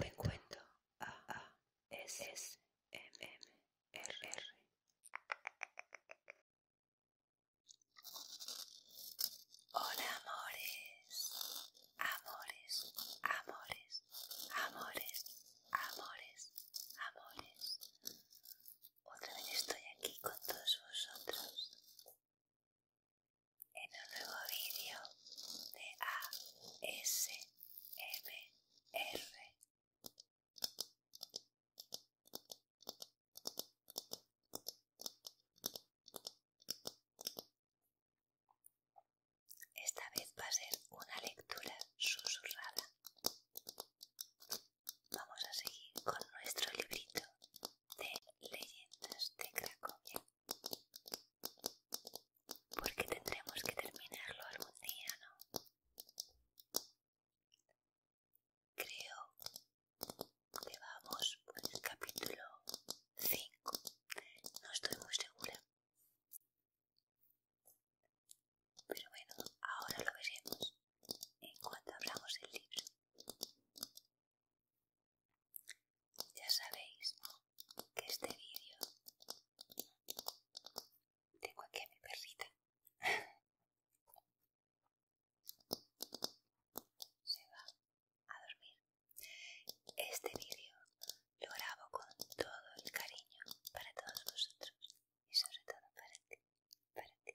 De cuento A A S M Hola amores, amores, amores, amores, amores, amores. Otra vez estoy aquí con todos vosotros en un nuevo vídeo de ASMR. Esta vez va a ser una lectura susurrada. Vamos a seguir con nuestro librito de leyendas de Cracovia. Porque tendremos que terminarlo algún día, ¿no? Creo que vamos por el capítulo 5. No estoy muy segura. Pero bueno, ahora lo veremos en cuanto abramos el libro. Ya sabéis que este vídeo tengo aquí a mi perrita. Se va a dormir. Este vídeo lo grabo con todo el cariño para todos vosotros y sobre todo para ti, para ti,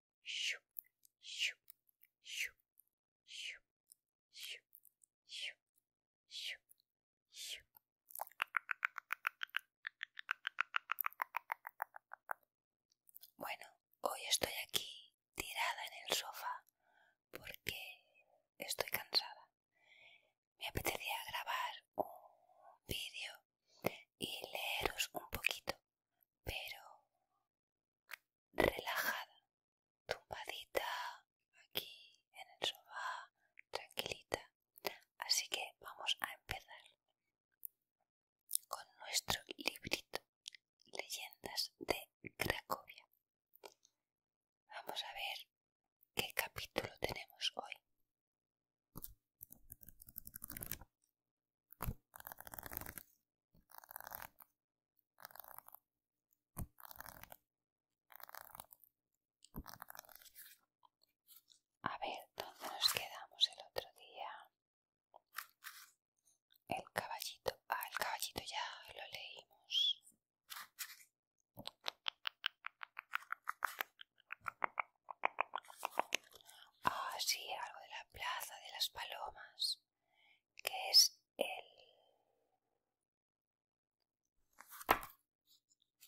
Bueno, hoy estoy aquí tirada en el sofá porque estoy cansada. Me apetecía grabar un vídeo y leeros un poquito pero relajada, tumbadita aquí en el sofá, tranquilita. Así que vamos a empezar con nuestro librito, Leyendas de Cracovia. Vamos a ver qué capítulo tenemos hoy. A ver, ¿dónde nos quedamos el otro día? El caballito. Ah, el caballito ya lo leímos. Ah, sí, algo de la plaza de las palomas, que es el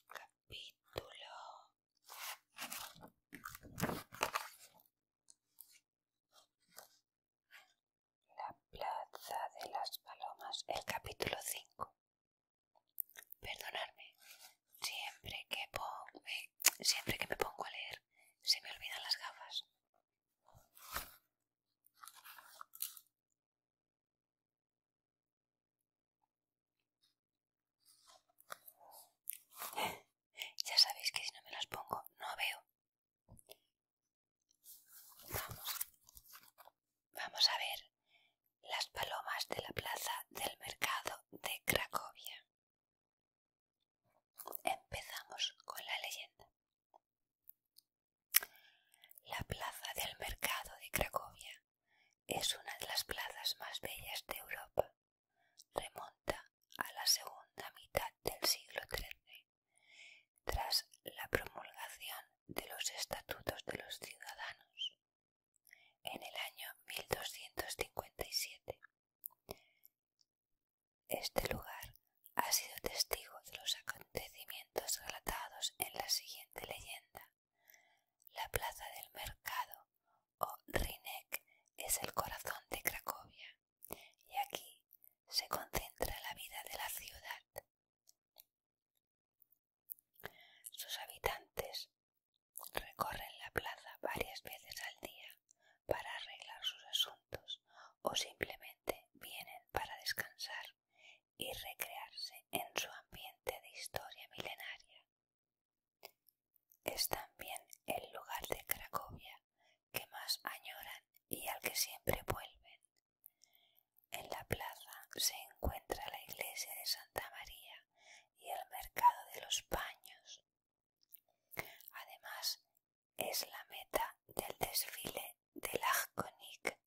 capítulo. La plaza de las palomas, el capítulo 5. Perdonadme. Eh, siempre que, me pongo a leer se me olvidan las gafas. Ya sabéis que si no me las pongo no veo. Vamos a ver las palomas de la plaza del mercado de Cracovia. Empezamos con la leyenda. La plaza del mercado de Cracovia es una de las plazas más bellas de Europa. Remonta a la segunda mitad del siglo XIII, tras la promulgación de los estatutos de los ciudadanos en el año 1257. Este lugar ha sido testigo de los acontecimientos relatados en la siguiente leyenda. La plaza del mercado o Rinek es el corazón de Cracovia y aquí se concentra la vida de la ciudad. Sus habitantes recorren la plaza varias veces al día para arreglar sus asuntos o simplemente vienen para descansar y recrearse en su ambiente de historia milenaria. Es también el lugar de Cracovia que más añoran y al que siempre vuelven. En la plaza se encuentra la iglesia de Santa María, y el mercado de los paños. Además, es la meta del desfile del konik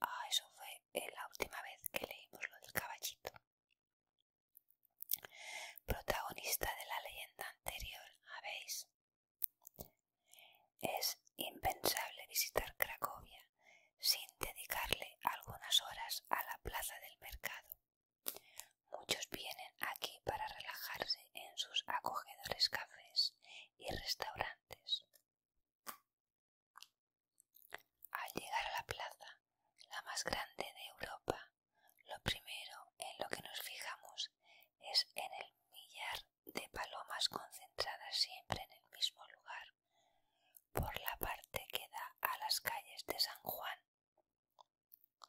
Ah, eso fue la última vez que leímos lo del caballito. Protagonista de la leyenda anterior, ¿habéis? Es impensable visitar Cracovia sin dedicarle algunas horas a la plaza del mercado. Muchos vienen aquí para relajarse en sus acogedores cafés y restaurantes. Al llegar a la plaza, la más grande de Europa, lo primero en lo que nos fijamos es en el millar de palomas concentradas siempre en el mismo lugar por la parte que da a las calles de San Juan,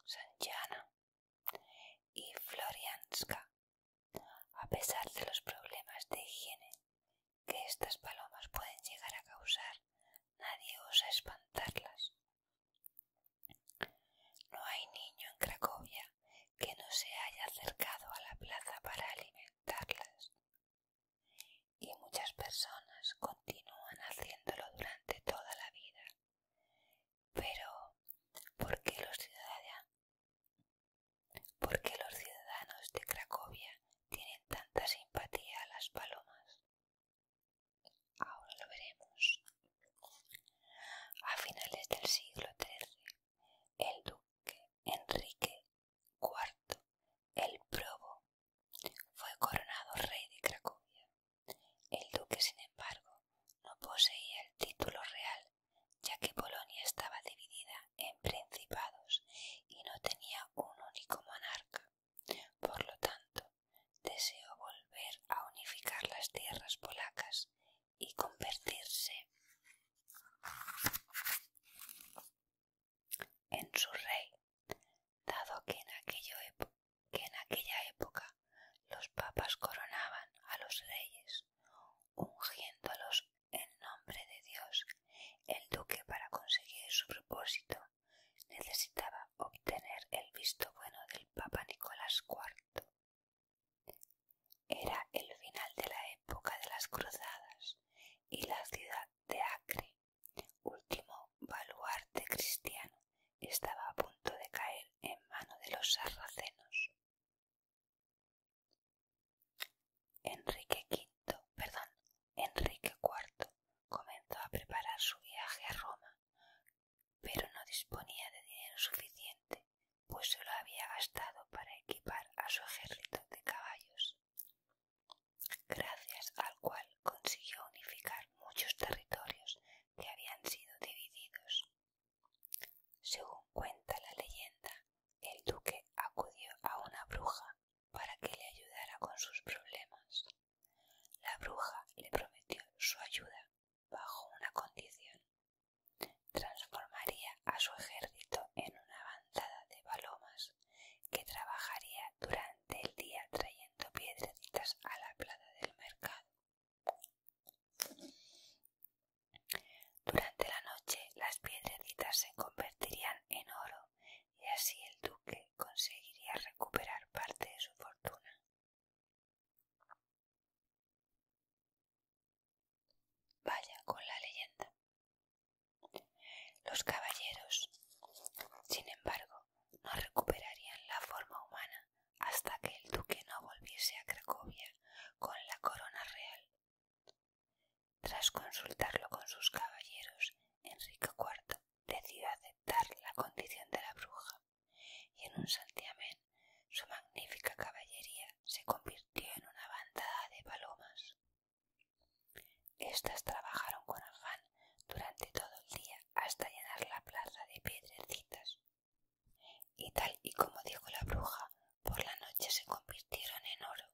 Sanjana y Florianska, a pesar de los problemas de higiene que estas palomas pueden llegar a causar, nadie osa espantarlas. No hay niño en Cracovia que no se haya acercado a la plaza para alimentarlas. Y muchas personas continúan haciéndolo durante toda la vida. Pero, ¿por qué los ciudadanos? de Cracovia tienen tanta simpatía a las palomas? Ahora lo veremos. A finales del siglo XIII, el duque Enrique IV, el probo fue coronado rey de Cracovia. El duque, sin embargo, no poseía el título real, ya que Polonia estaba dividida en principados y no tenía un único monarca. Por lo tanto, deseó volver a unificar las tierras polacas y convertirse en su rey, dado que en, aquella época los papas coronaban a los reyes, ungiéndolos en nombre de Dios. El duque para conseguir su propósito necesitaba obtener el visto bueno del papa Nicolás IV. Era el final de la época de las cruzadas y la ciudad de Acre último baluarte cristiano, estaba a punto de caer en mano de los sarracenos. Enrique V, perdón, Enrique IV comenzó a preparar su viaje a Roma, pero no disponía de dinero suficiente, pues se lo había gastado para equipar a su ejército de caballos gracias al cual consiguió unificar muchos territorios que habían sido divididos. Según cuenta la leyenda, el duque acudió a una bruja para que le ayudara con sus problemas. La bruja le prometió su ayuda bajo una condición. Transformaría a su ejército en una bandada de palomas que trabajaría durante el día trayendo piedrecitas a la plaza del mercado. Durante la noche las piedrecitas se convertirían en oro y así el duque conseguiría recuperar parte de su fortuna. Vaya con la leyenda. Los caballeros, sin embargo, no recuperarían la forma humana hasta que el duque no volviese a Cracovia con la corona real. Tras consultarlo con sus caballeros, Enrique IV decidió aceptar la condición de la bruja y en un santiamén su magnífica caballería se convirtió en una bandada de palomas. Estas trabajaron con afán durante todo el día hasta llenar la plaza de piedrecitas. Y tal y como dijo la bruja, por la noche se convirtieron en oro.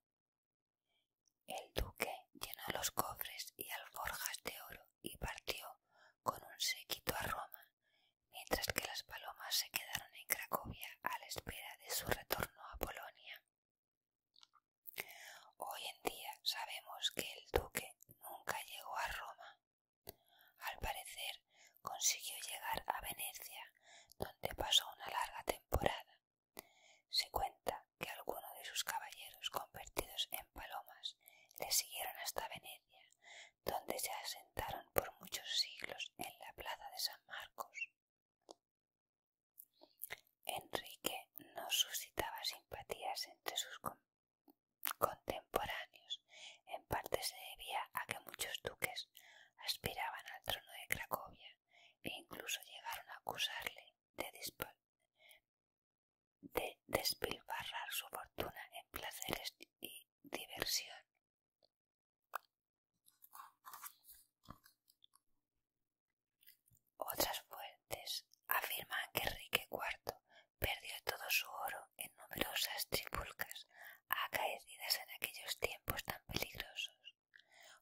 El duque llenó los cofres y alforjas de oro y partió con un séquito a Roma, mientras que las palomas se quedaron en Cracovia a la espera de su retorno a Polonia. Hoy en día sabemos que el duque nunca llegó a Roma. Al parecer consiguió llegar a Venecia, donde pasó una larga temporada. Se cuenta que algunos de sus caballeros convertidos en palomas le siguieron hasta Venecia, donde se asentaron por muchos siglos en la plaza de San Marcos. Enrique no suscitaba simpatías entre sus contemporáneos. En parte se debía a que muchos duques aspiraban al trono de Cracovia e incluso llegaron a acusarle de despilfarrar su fortuna en placeres y diversión. Otras fuentes afirman que Enrique IV perdió todo su oro en numerosas tripulcas acaecidas en aquellos tiempos tan peligrosos.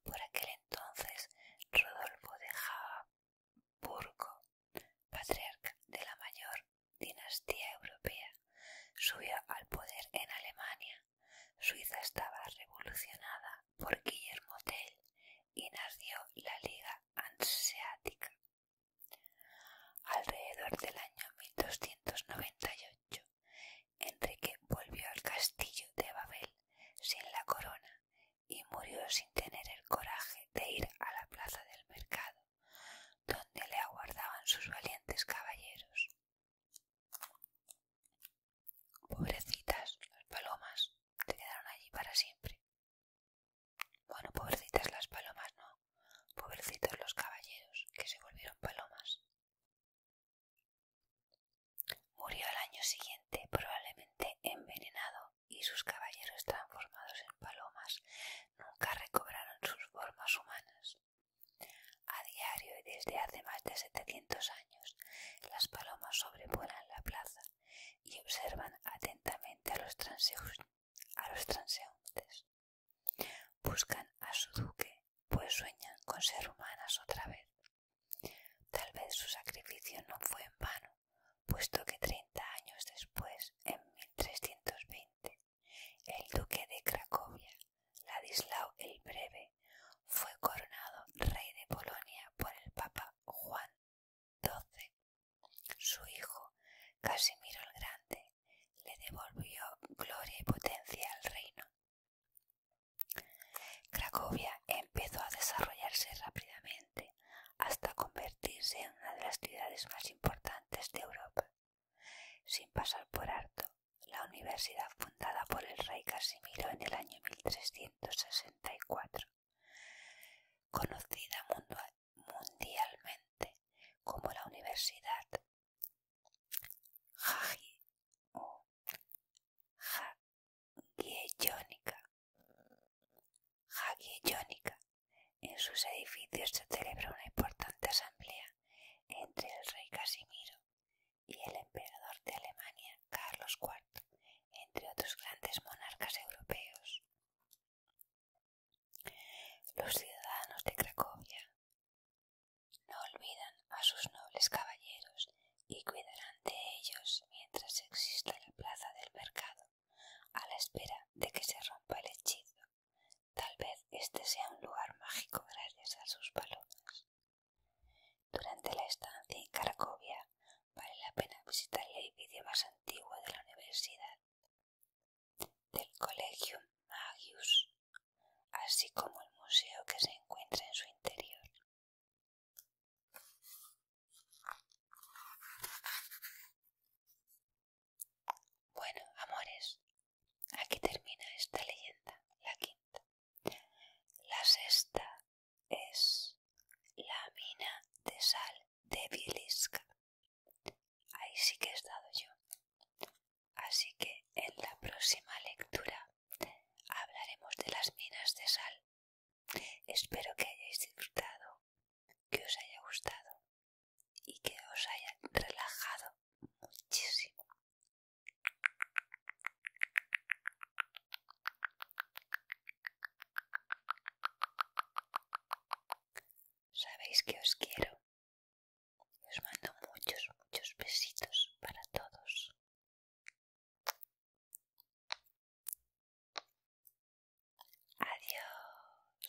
Por aquel entonces, Rodolfo de Habsburgo, patriarca de la mayor dinastía europea, subió al poder en Alemania Suiza estaba revolucionada por Guillermo Tell y nació la Liga Hanseática. Alrededor del año 1298, Enrique volvió al castillo de Babel sin la corona y murió sin tener el coraje de ir a la plaza del mercado, donde le aguardaban sus valientes caballeros. Pobrecitas, las palomas se quedaron allí para siempre. Bueno, pobrecitas las palomas, no. Pobrecitos los caballeros, que se volvieron palomas. Murió al año siguiente, probablemente envenenado, y sus caballeros transformados en palomas nunca recobraron sus formas humanas. A diario y desde hace más de setecientos años, las palomas sobrevuelan la plaza y observan atentamente a los, a transeúntes. Buscan a su duque, pues sueñan con ser humanas otra vez. Tal vez su sacrificio no fue en vano, puesto que treinta años después, en 1320, el duque de Cracovia Ladislao el Breve fue coronado rey de Polonia por el Papa Juan XII. Su hijo, Casimiro el Grande, le devolvió gloria y potencia al reino. Cracovia empezó a desarrollarse rápidamente hasta convertirse en una de las ciudades más importantes de Europa, sin pasar por harto la universidad fundada por el rey Casimiro en el año 1364, conocida mundialmente como la Universidad Hagi o En sus edificios se celebra una importante asamblea entre el rey Casimiro y el emperador de Alemania Carlos IV, entre otros grandes monarcas europeos. Los ciudadanos de Cracovia no olvidan a sus nobles caballeros y cuidarán de ellos mientras exista la plaza del mercado, a la espera de que se rompa el hechizo Tal vez este sea un lugar mágico gracias a sus palomas. Durante la estancia en Cracovia vale la pena visitar el edificio más antiguo de la universidad, del Collegium Magius, así como el museo que se encuentra en su interior. Bueno, amores, Aquí termina esta leyenda, la quinta. La sexta es la mina de sal de Viliska Ahí sí que he estado yo. Así que en la próxima lectura hablaremos de las minas de sal. Espero que hayáis disfrutado, que os haya gustado y que os haya relajado muchísimo. Sabéis que os quiero. Os mando muchos, muchos besitos para todos. Adiós.